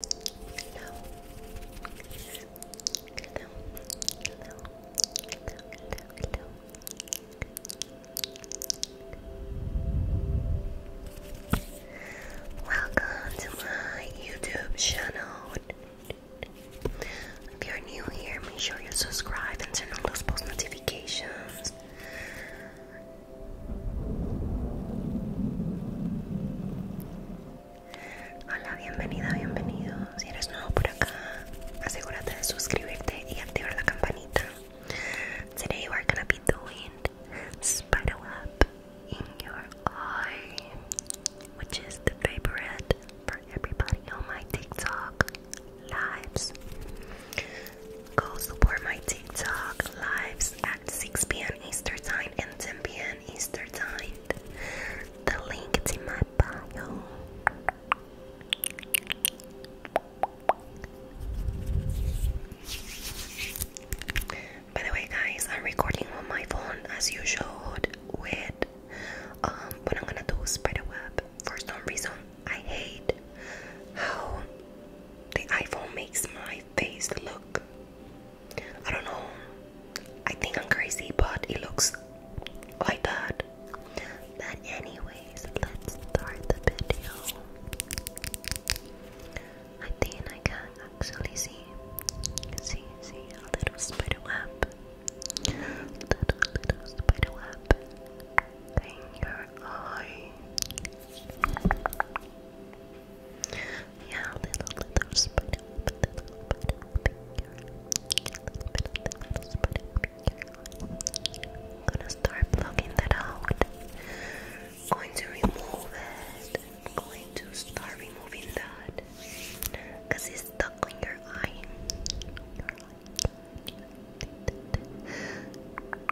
Hello. Welcome to my YouTube channel. If you're new here, make sure you subscribe and turn on those post notifications. Hola, bienvenida, bienvenido. Si eres nuevo por acá, asegúrate de suscribirte y activar la campanita. Today we're gonna be doing spider web in your eye, which is the favorite for everybody on my TikTok lives. Go support my TikTok lives 6 p.m. Eastern Time and 10 p.m. Eastern Time. The link is in my bio. By the way, guys, I'm recording on my phone as usual with um, what I'm gonna do spider For some reason, I hate how the iPhone makes my my look? I don't know. I think I'm crazy, but it looks like that. But anyways, let's start the video. I think I can actually see, see, see a little spider web. Little, little spider web in your eye. Yeah, a little, little spread it up, a little bit up here. A little bit, a little spread up here. I'm gonna start plugging that out. I'm going to remove it. I'm going to start removing that. Because it's stuck on your eye. Your eye.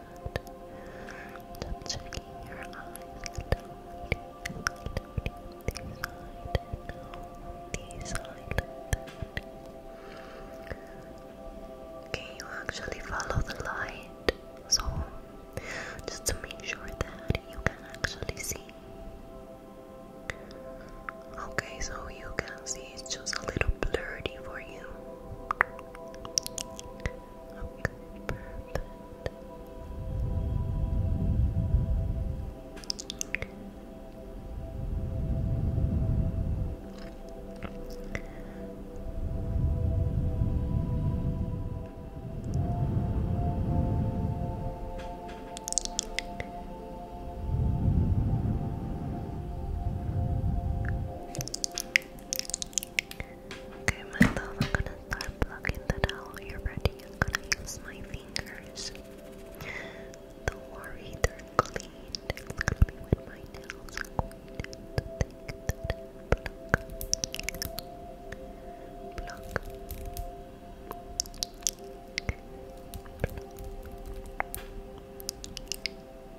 good. Stop checking your eyes. This side, Can you actually follow the light? So, just to make sure that you can actually see. Okay, so you can see it's just a little blurry for you. Okay, perfect. Okay. Okay, my love, I'm gonna start blocking the towel. You're ready. I'm gonna use my fingers. Don't worry, they're clean. It's gonna be with my nails.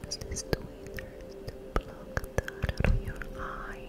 Place this tweezer to out of your eye.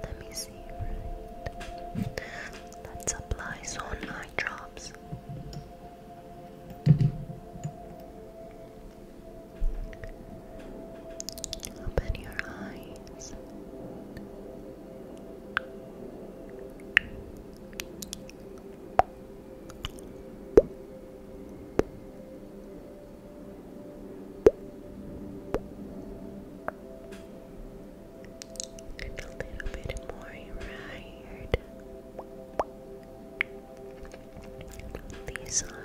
Let me see, right? Let's eye drops. Open your eye sound. And a little bit more right. This eye.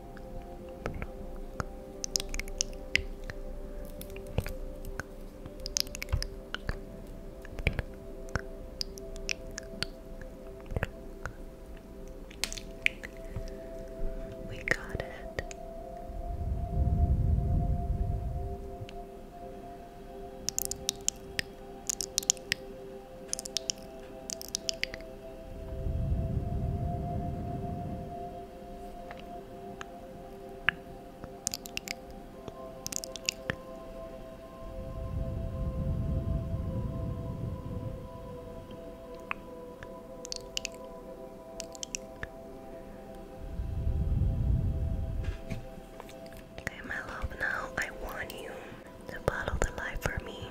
We got it. Okay, my love, now I want you to bottle the light for me.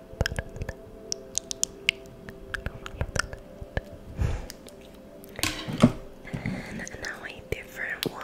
And now a different one.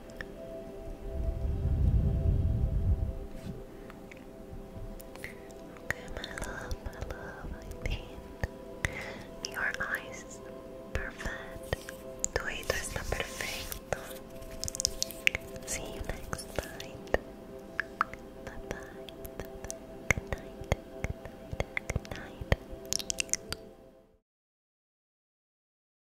Okay, my love, my love, I think your eyes perfect. Tu está perfecto. See you next night. bye, -bye. Good night. Good night. Good night.